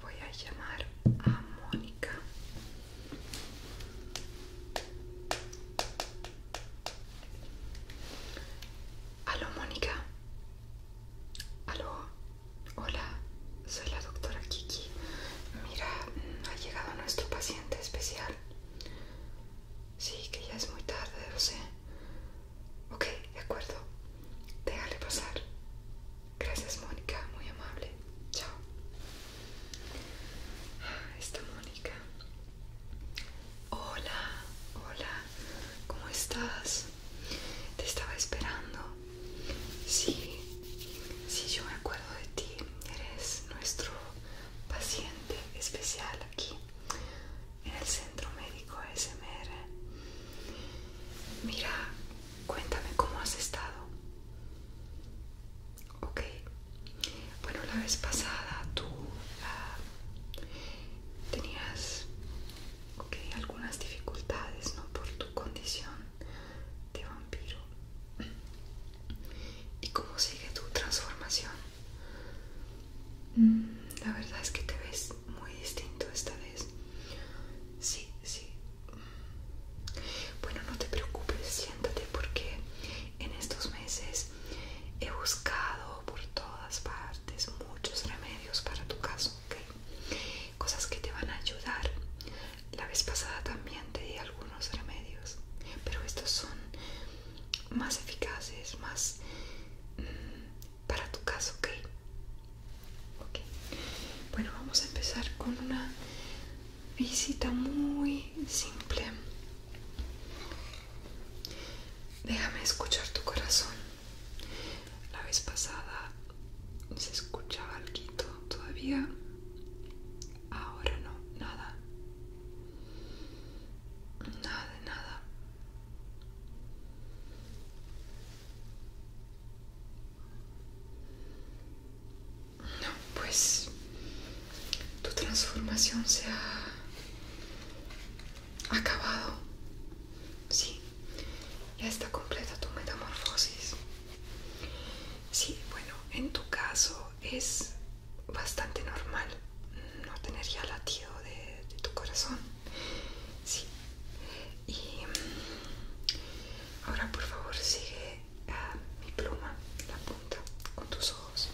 Voy a llamar a Mónica. Aló, Mónica. Aló. Hola, soy la doctora Kiki. Mira, ha llegado nuestro paciente especial. Sí, que ya es muy tarde, lo sé. Ok, de acuerdo. Déjale pasar. Gracias, Mónica, muy amable. Chao. Ah, esta Mónica. Hola, hola. ¿Cómo estás? Te estaba esperando. Sí, sí, yo me acuerdo de ti. Eres nuestro paciente especial aquí en el Centro Médico SMR. Mira, cuéntame cómo has estado. Ok. Bueno, la vez pasada tú ah, tenías okay, algunas dificultades, ¿no? Por tu condición de vampiro. ¿Y cómo sigue tu transformación? Mm, la verdad es que te ves muy distinto esta vez. Sí, sí. Bueno, no te preocupes, siéntate porque en estos meses he buscado por todas partes muchos remedios para tu caso, Cosas que te van a ayudar. La vez pasada también te di algunos remedios, pero estos son más eficaces, más mm, para tu caso, Ok, bueno, vamos a empezar con una visita muy simple. Déjame escuchar tu corazón. La vez pasada se escuchaba algo todavía. Ahora no, nada. Nada de nada. No, pues tu transformación se ha acabado. Sí, ya está completa tu metamorfosis. Sí, bueno, en tu caso es bastante normal no tener ya latido de, tu corazón. Sí. Y mm, ahora por favor sigue ah, mi pluma, la punta, con tus ojos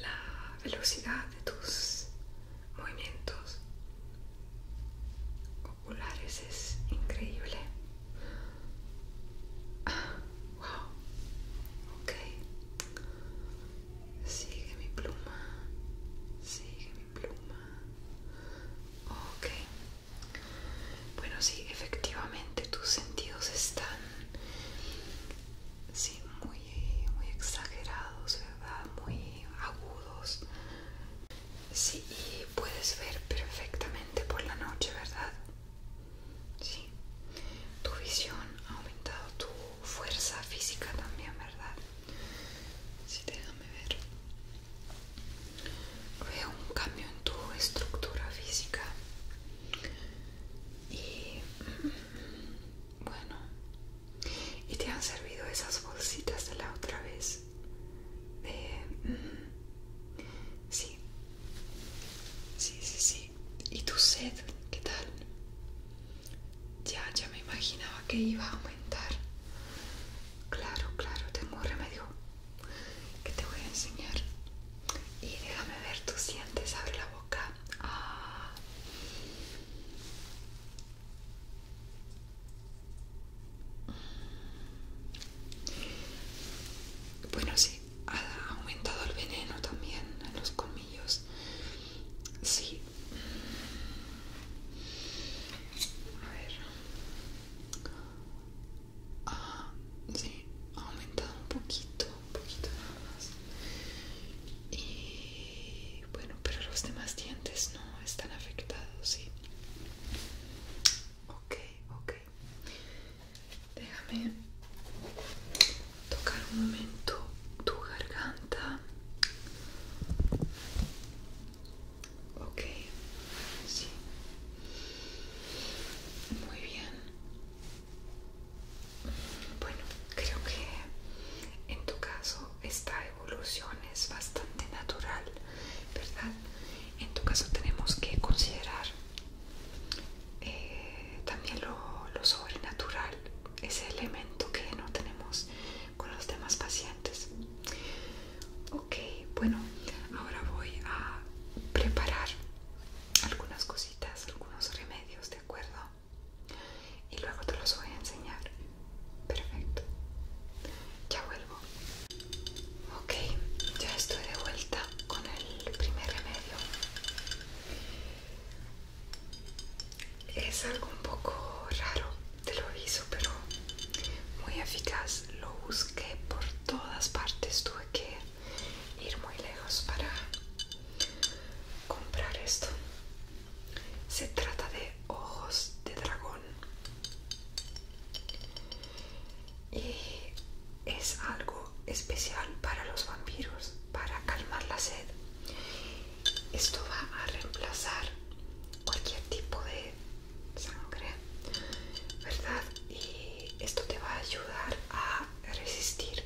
la velocidad de tus movimientos oculares es increíble. Ah, wow, ok. Sigue mi pluma, sigue mi pluma. Ok, bueno, sí, efectivamente tus sentidos están muy, muy exagerados, ¿verdad? Muy agudos. Sí, y puedes ver perfectamente por la noche, ¿verdad? Sí. Tu visión ha aumentado tu fuerza física también, ¿verdad? Sí, déjame ver. Veo un cambio en tu estructura física. Y mm, bueno, ¿y te han servido esas bolsitas de la otra vez? Mm, sí, sí, sí, sí. ¿Y tu sed? ¿Qué tal? Ya, ya me imaginaba que iba a aumentar. Claro, claro, tengo remedio que te voy a enseñar y déjame ver ¿tú sientes abre la boca ah. bueno sí ha aumentado el veneno también en los colmillos sí a ver Ah, ha sí, aumentado un poquito, un poquito nada más. Y bueno, pero los demás dientes no están afectados, ¿sí? Ok, ok. Déjame tocar un momento tu garganta. Ok, sí. Muy bien. Bueno, creo que en tu caso esta evolución es bastante natural, ¿verdad? En tu caso tenemos que considerar eh, también lo, lo sobrenatural, ese elemento que no tenemos con los demás pacientes. Ok, bueno, ahora voy a preparar algunas cositas, algunos remedios, ¿de acuerdo? Y luego te los voy a enseñar. Perfecto. Ya vuelvo. Ok, ya estoy de vuelta con el primer remedio. Es algo un poco raro, te lo aviso, pero muy eficaz. Lo busqué por todas partes, tuve que ir muy lejos para comprar esto. Se trata de ojos de dragón. Y es algo especial para los vampiros, para calmar la sed. Esto va a reemplazar cualquier tipo de sangre ¿verdad? Y esto te va a ayudar a resistir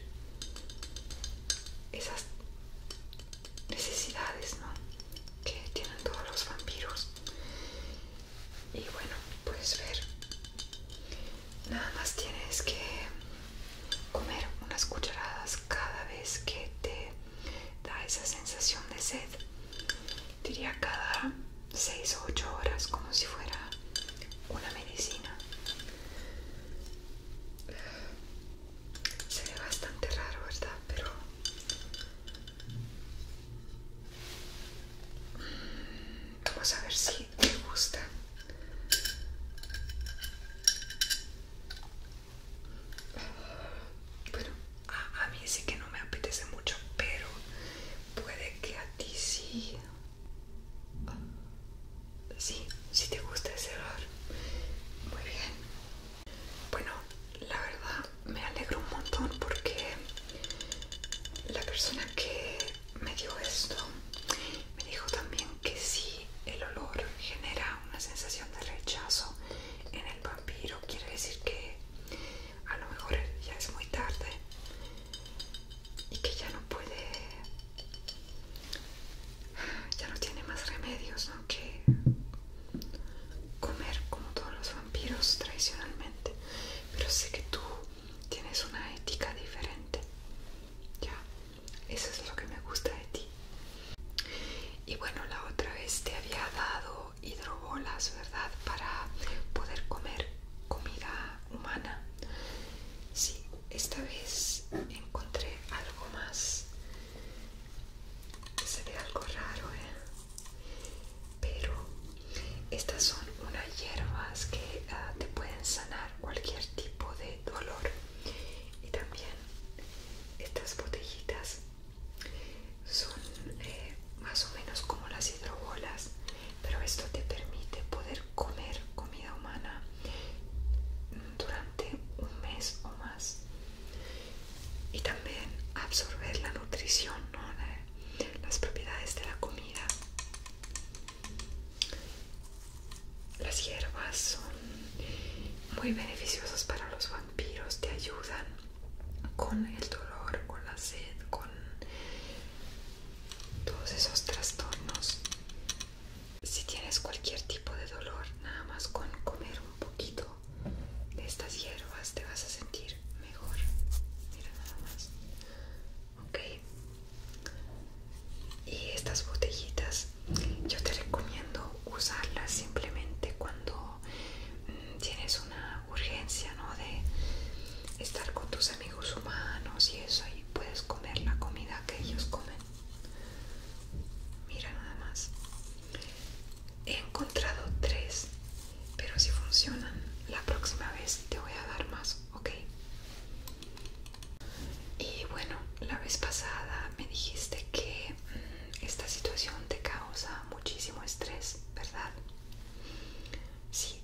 esas necesidades, ¿no? Que tienen todos los vampiros. Y bueno, puedes ver. Nada más tienes que comer unas cucharadas cada vez que te da esa sensación de sed. Diría cada 6 o 8 horas como si fuera una medicina. Se ve bastante raro, ¿verdad? Pero... Vamos a ver si te gusta. Bueno, a, a mí sí que no me apetece mucho, pero puede que a ti sí. Sí, si te gusta ese olor. Muy bien. Bueno, la verdad me alegro un montón porque la persona que me dio esto me dijo también que si el olor genera una sensación de rechazo en el vampiro. Quiere decir que a lo mejor ya es muy tarde y que ya no puede, ya no tiene más remedios que comer como todos los vampiros tradicionalmente. Pero sé que tú tienes una ética diferente. Ya, eso es lo que me gusta de ti. Y bueno, la otra vez te había dado hidrobolas, ¿verdad? Para poder comer comida humana. Sí, esta vez encontré algo más. Se ve algo raro, ¿eh? Pero estas son unas hierbas que ah, te pueden sanar cualquier tipo de dolor. Y también estas botellitas son eh, más o menos como las hidrobolas, pero esto te permite poder comer comida humana durante un mes o más y también absorber la nutrición, las propiedades de la comida. Las hierbas son muy beneficiosas para los vampiros, te ayudan con el dolor, con la sed, con todos esos trastornos. Si tienes cualquier tipo de dolor, nada más con comer un poquito de estas hierbas te vas a sentir mejor. Mira nada más. Ok. Y estas botellitas, yo te recomiendo usarlas simplemente cuando mm, tienes una urgencia, ¿no? De estar con tus amigos humanos y eso, y puedes comer la comida que ellos comen. Mira nada más. He encontrado tres, pero si funcionan, la próxima vez te voy a dar más, ¿ok? Y bueno, la vez pasada me dijiste que mm, esta situación te causa muchísimo estrés, ¿verdad? Sí,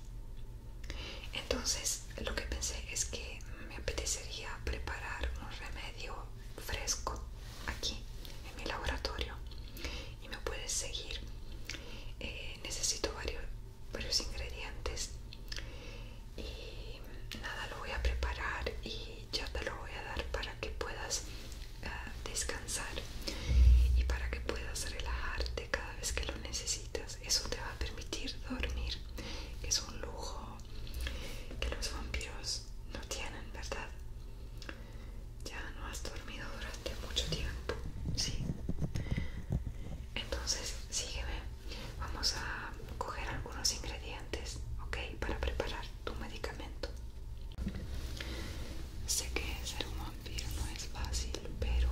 entonces lo que pensé es que me apetecería preparar un remedio fresco aquí en mi laboratorio y me puedes seguir. Eh, necesito varios, ingredientes y nada, lo voy a preparar y ya te lo voy a dar para que puedas eh, descansar y para que puedas relajarte cada vez que lo necesitas eso te va a permitir dormir es un lujo que los vampiros no tienen verdad ya no has dormido durante mucho tiempo sí entonces sígueme vamos a coger algunos ingredientes ok para preparar tu medicamento Sé que ser un vampiro no es fácil, pero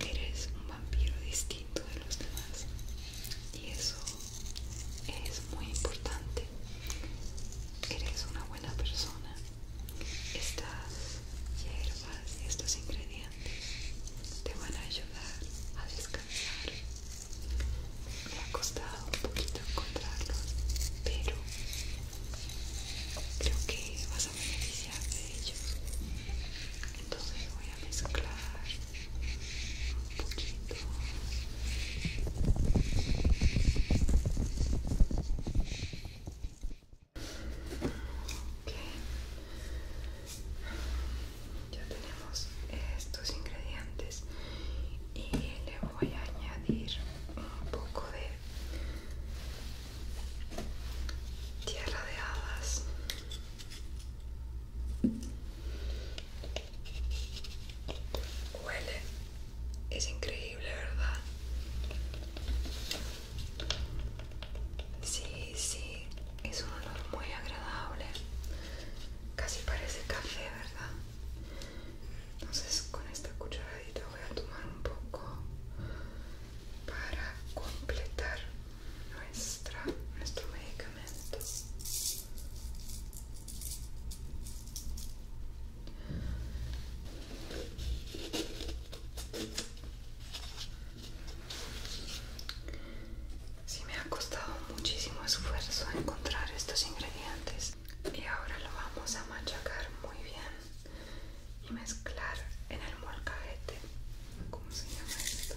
eres un vampiro distinto de los demás y eso es muy importante eres una buena persona estas hierbas y estos ingredientes te van a ayudar a descansar me ha costado un poquito encontrarlos pero creo que vas a beneficiar de ellos entonces voy a mezclar un poquito Ok ya tenemos estos ingredientes y le voy a añadir un poco de Tierra de hadas. Huele. Es increíble, ¿verdad? Sí, sí, es un olor muy agradable. Casi parece café, ¿verdad? Entonces con esta cucharadita voy a tomar un poco para completar nuestra, nuestro medicamento. Sí me ha costado muchísimo esfuerzo encontrar estos ingredientes y ahora lo vamos a machacar muy bien y mezclar en el molcajete. ¿Cómo se llama esto?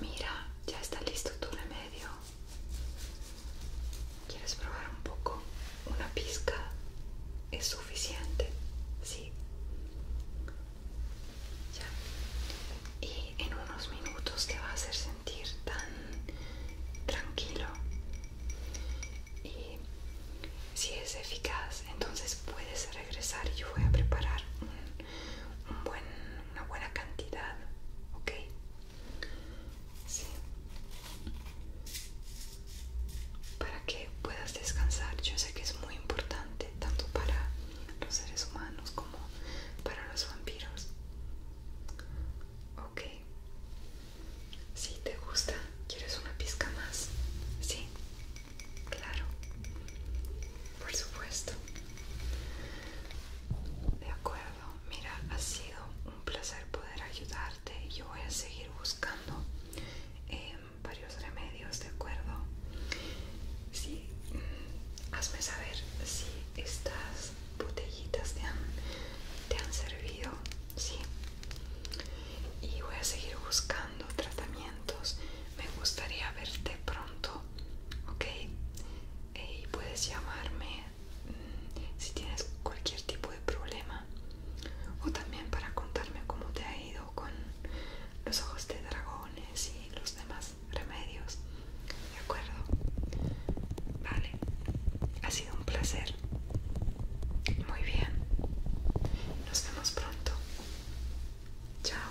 Mira, ya está listo tu remedio. ¿Quieres probar un poco? Una pizca es suficiente, sí. Y en unos minutos te va a hacer tan tranquilo y si es eficaz entonces puedes regresar y yo voy a preparar una buena cantidad ok para que puedas descansar yo sé que es muy importante tanto para los seres humanos como para los vampiros. Ok. Si te gusta, ¿quieres una pizca más? Sí. Claro. Por supuesto. De acuerdo. Mira, ha sido un placer poder ayudarte. Yo voy a seguir buscando eh, varios remedios, ¿de acuerdo? Sí, hazme saber si estas botellitas te han, servido, sí. Y voy a seguir buscando tratamientos. Me gustaría verte pronto, ¿ok? Eh, y puedes llamarme mm, si tienes cualquier tipo de problema o también para contarme cómo te ha ido con los ojos de dragones y los demás remedios. ¿De acuerdo? Vale. Ha sido un placer. Muy bien. Nos vemos pronto. Chao.